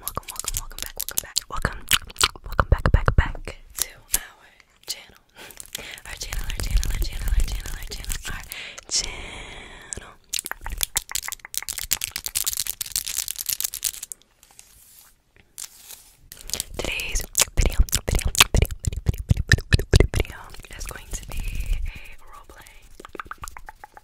welcome, welcome, welcome, back, welcome back, welcome, welcome back, back, back to our channel. Our channel, our channel, our channel, our channel, our channel, Today's video, video, video, video, video, video, video, video, video is going to be a role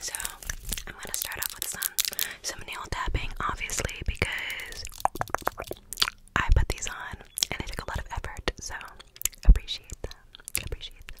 so I'm gonna start off with some some nail tapping, obviously, because I put these on and it took a lot of effort, so appreciate that. Appreciate them.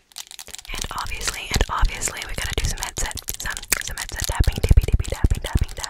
And obviously, and obviously, we gotta do some headset, some, some headset tapping, tippy tippy tapping, tapping, tapping.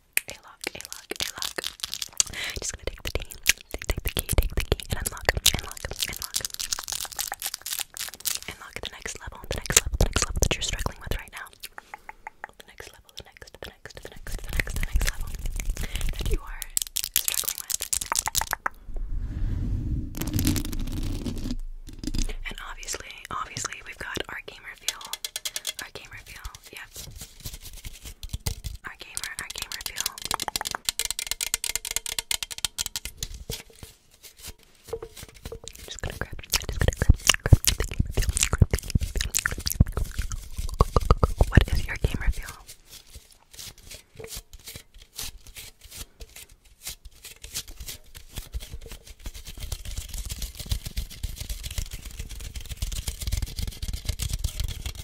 a lock, a lock, a lock. Just gonna take the key, take, the key, take the key, and unlock, unlock, unlock, unlock the next level, the next level, the next level that you're struggling with right now. The next level, the next, the next, the next, the next, the next level that you are struggling with. And obviously, obviously, we've got our gamer feel, our gamer feel. Yep. Our gamer, our game reveal. I'm just gonna grab, I'm just gonna grab, What is your game reveal?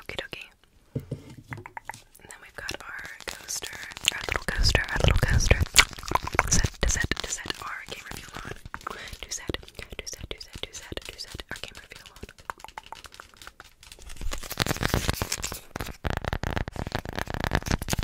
Okay, dokie. And then we've got our coaster, our little coaster, our little coaster. Set, to set, to set our game review on. Do set, do set, do set, do set, do set our game review on.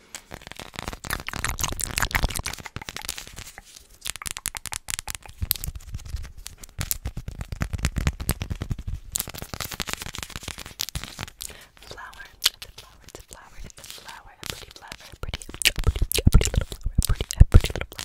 Flower, it's a flower, it's a flower, it's a flower, a pretty flower, a pretty, a pretty, a pretty little flower, a pretty, a pretty little flower.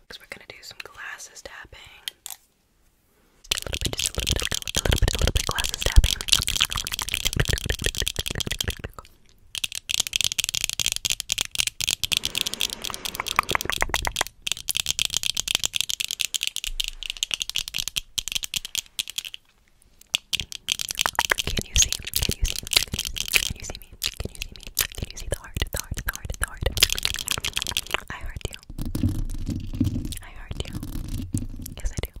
Because we're going to do some glasses tapping. A little bit, just a little bit, a little bit, a little bit, a little bit glasses tapping. Can you see? Can you see? Can you see me? Can you see me? Can you see the heart? The heart, the heart, the heart. I heart you. I heart you. Yes, I do.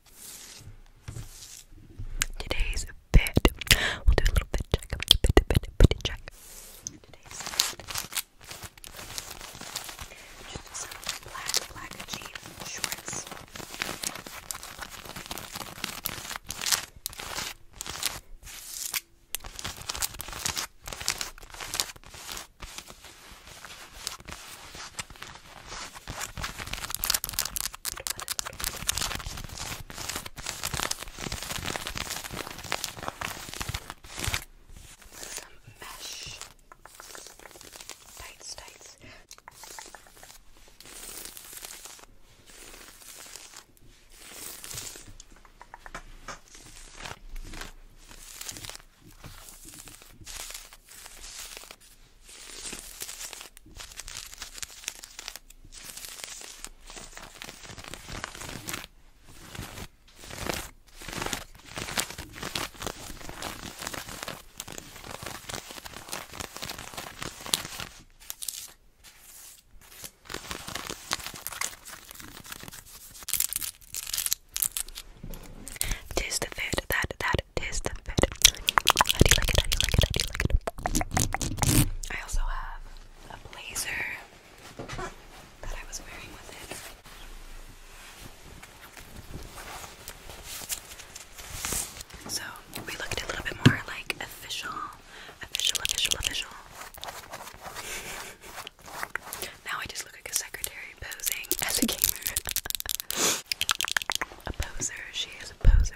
Today's fit. We'll do a little fit check. Fit, check. Today's Just some black, black jean shorts. Some mesh tights, tights. Tis the fit that that tis the fit I also have a blazer that I was wearing with it. So we looked a little bit more like official, official, official, official. Now I just look like a secretary posing as a gamer. a poser, she is a poser.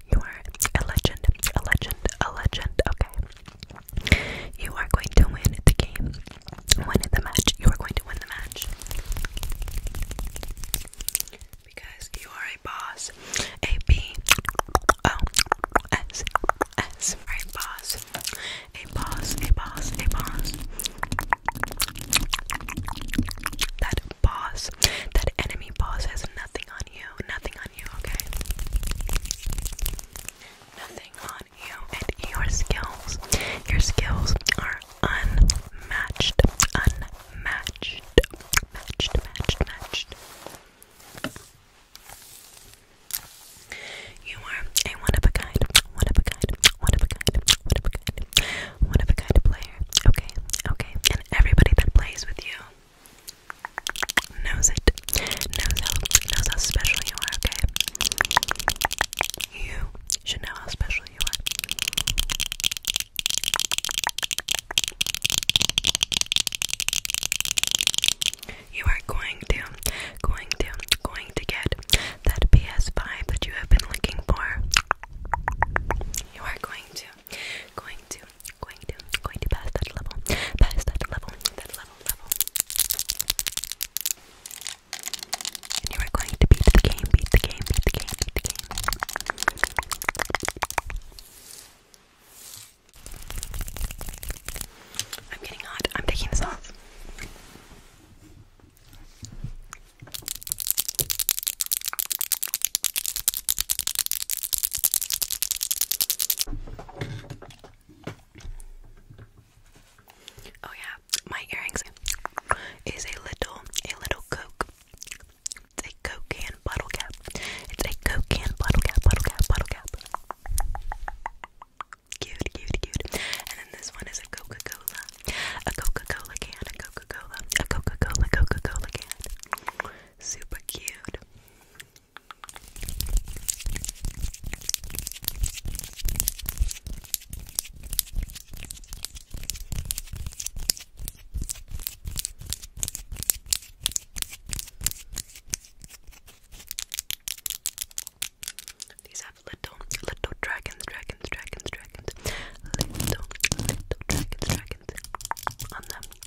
you are a legend, a legend, a legend, okay? You are going to win the game. Win the match. You are going to win the match. Because you are a boss. A B O S S. A boss. A boss. A boss. A boss. That boss. That enemy boss has nothing on you. Nothing on on you, okay? Nothing on you and your skills. Your skills are unmatched. Unmatched. Matched, matched, matched. You are a one of a kind, one of a kind, one of a kind, one of a kind, one of a kind player. Okay, okay. And everybody that plays with you knows it, knows how, knows how special you are, okay? You should know how special you are. You are going to, going to, going to get that PS5 that you have been looking for. You are going to, going to, going to going to pass that level, pass that level, that level, level. And you are going to beat the game, beat the game, beat the game, beat the game. I'm getting hot. I'm taking this off. Oh yeah, my earrings is a little a little Coke. It's a Coke can bottle cap. It's a Coke can bottle cap, bottle cap, bottle cap. Cute, cute, cute. And then this one is a Coca-Cola. A Coca-Cola can, a Coca-Cola, a Coca-Cola, Coca-Cola can super cute. These have little, little dragons, dragons, dragons, dragons, little, little dragons, dragons on them.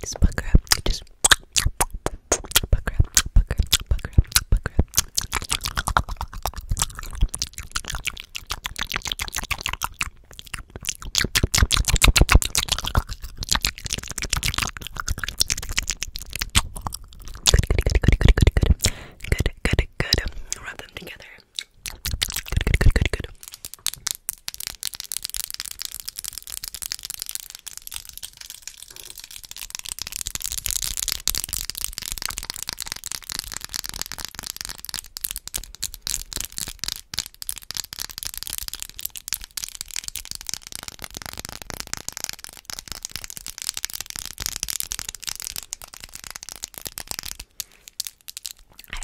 Just bug her up, just bug her up, bug her up, bug her up, bug her up good, good. Rub them together. Good, good, good, good, good. I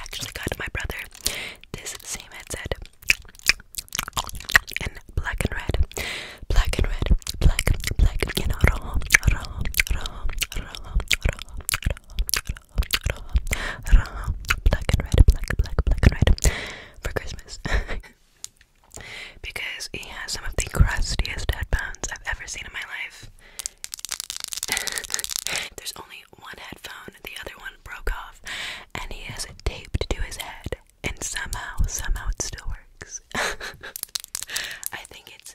actually got my brother this same headset in black and red, black and red, black, black, you know, black and red, black, black, black and red for Christmas. because he has some of the crustiest headphones I've ever seen in my life. There's only one headphone, the other one broke off, and he has it taped to his head, and somehow, somehow it still works. I think it's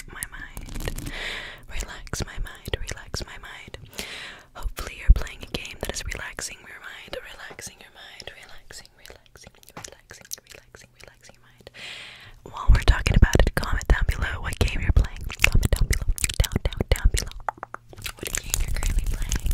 my mind. Relax my mind. Relax my mind. Hopefully, you're playing a game that is relaxing your mind, relaxing your mind, relaxing, relaxing, relaxing, relaxing, relaxing your mind. While we're talking about it, comment down below what game you're playing. Comment down below, down, down, down below. What game you're currently playing?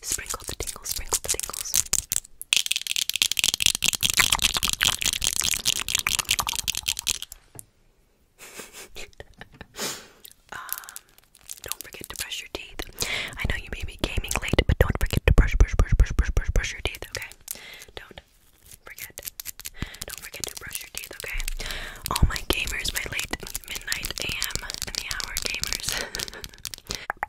Sprinkle the tingles, sprinkle the tingles. Um, don't forget to brush your teeth. I know you may be gaming late, but don't forget to brush, brush, brush, brush, brush, brush, brush your teeth. Okay? Don't forget. Don't forget to brush your teeth. Okay? All my gamers, my late midnight AM and the hour gamers.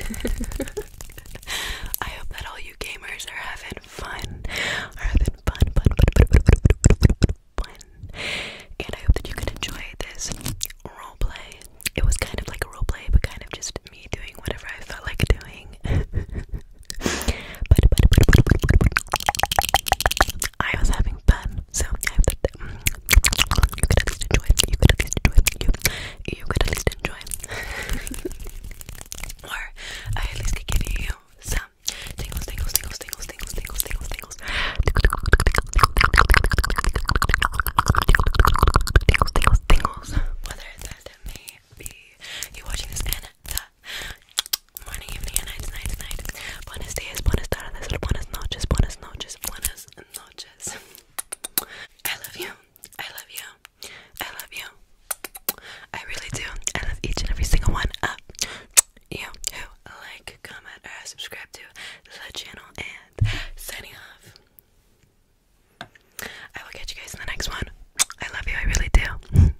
I hope that all you gamers are having fun, having fun, fun, fun, fun, fun, and I hope that you could enjoy this role It was kind of like a role play, but kind of just me doing whatever I felt like doing. but, but, but, but, but, but, but I was having fun, so I hope that um, you could at least enjoy it. You could at least enjoy it. You, you could at least enjoy it. or I at least could give you some tingles, tingles, tingles, tingles, tingles, tingles, tingles, tingles. Tingles, tingles, tingles. Whether that may be you watching this and that morning, evening, and night, night, night. Buenos dias, buenas tardes, buenas noches, buenas noches, buenas noches. I love you. I love you. I love you. I really do. I love each and every single one of you like, comment, or subscribe to the channel. And signing off. I will catch you guys in the next one. I love you. I really do.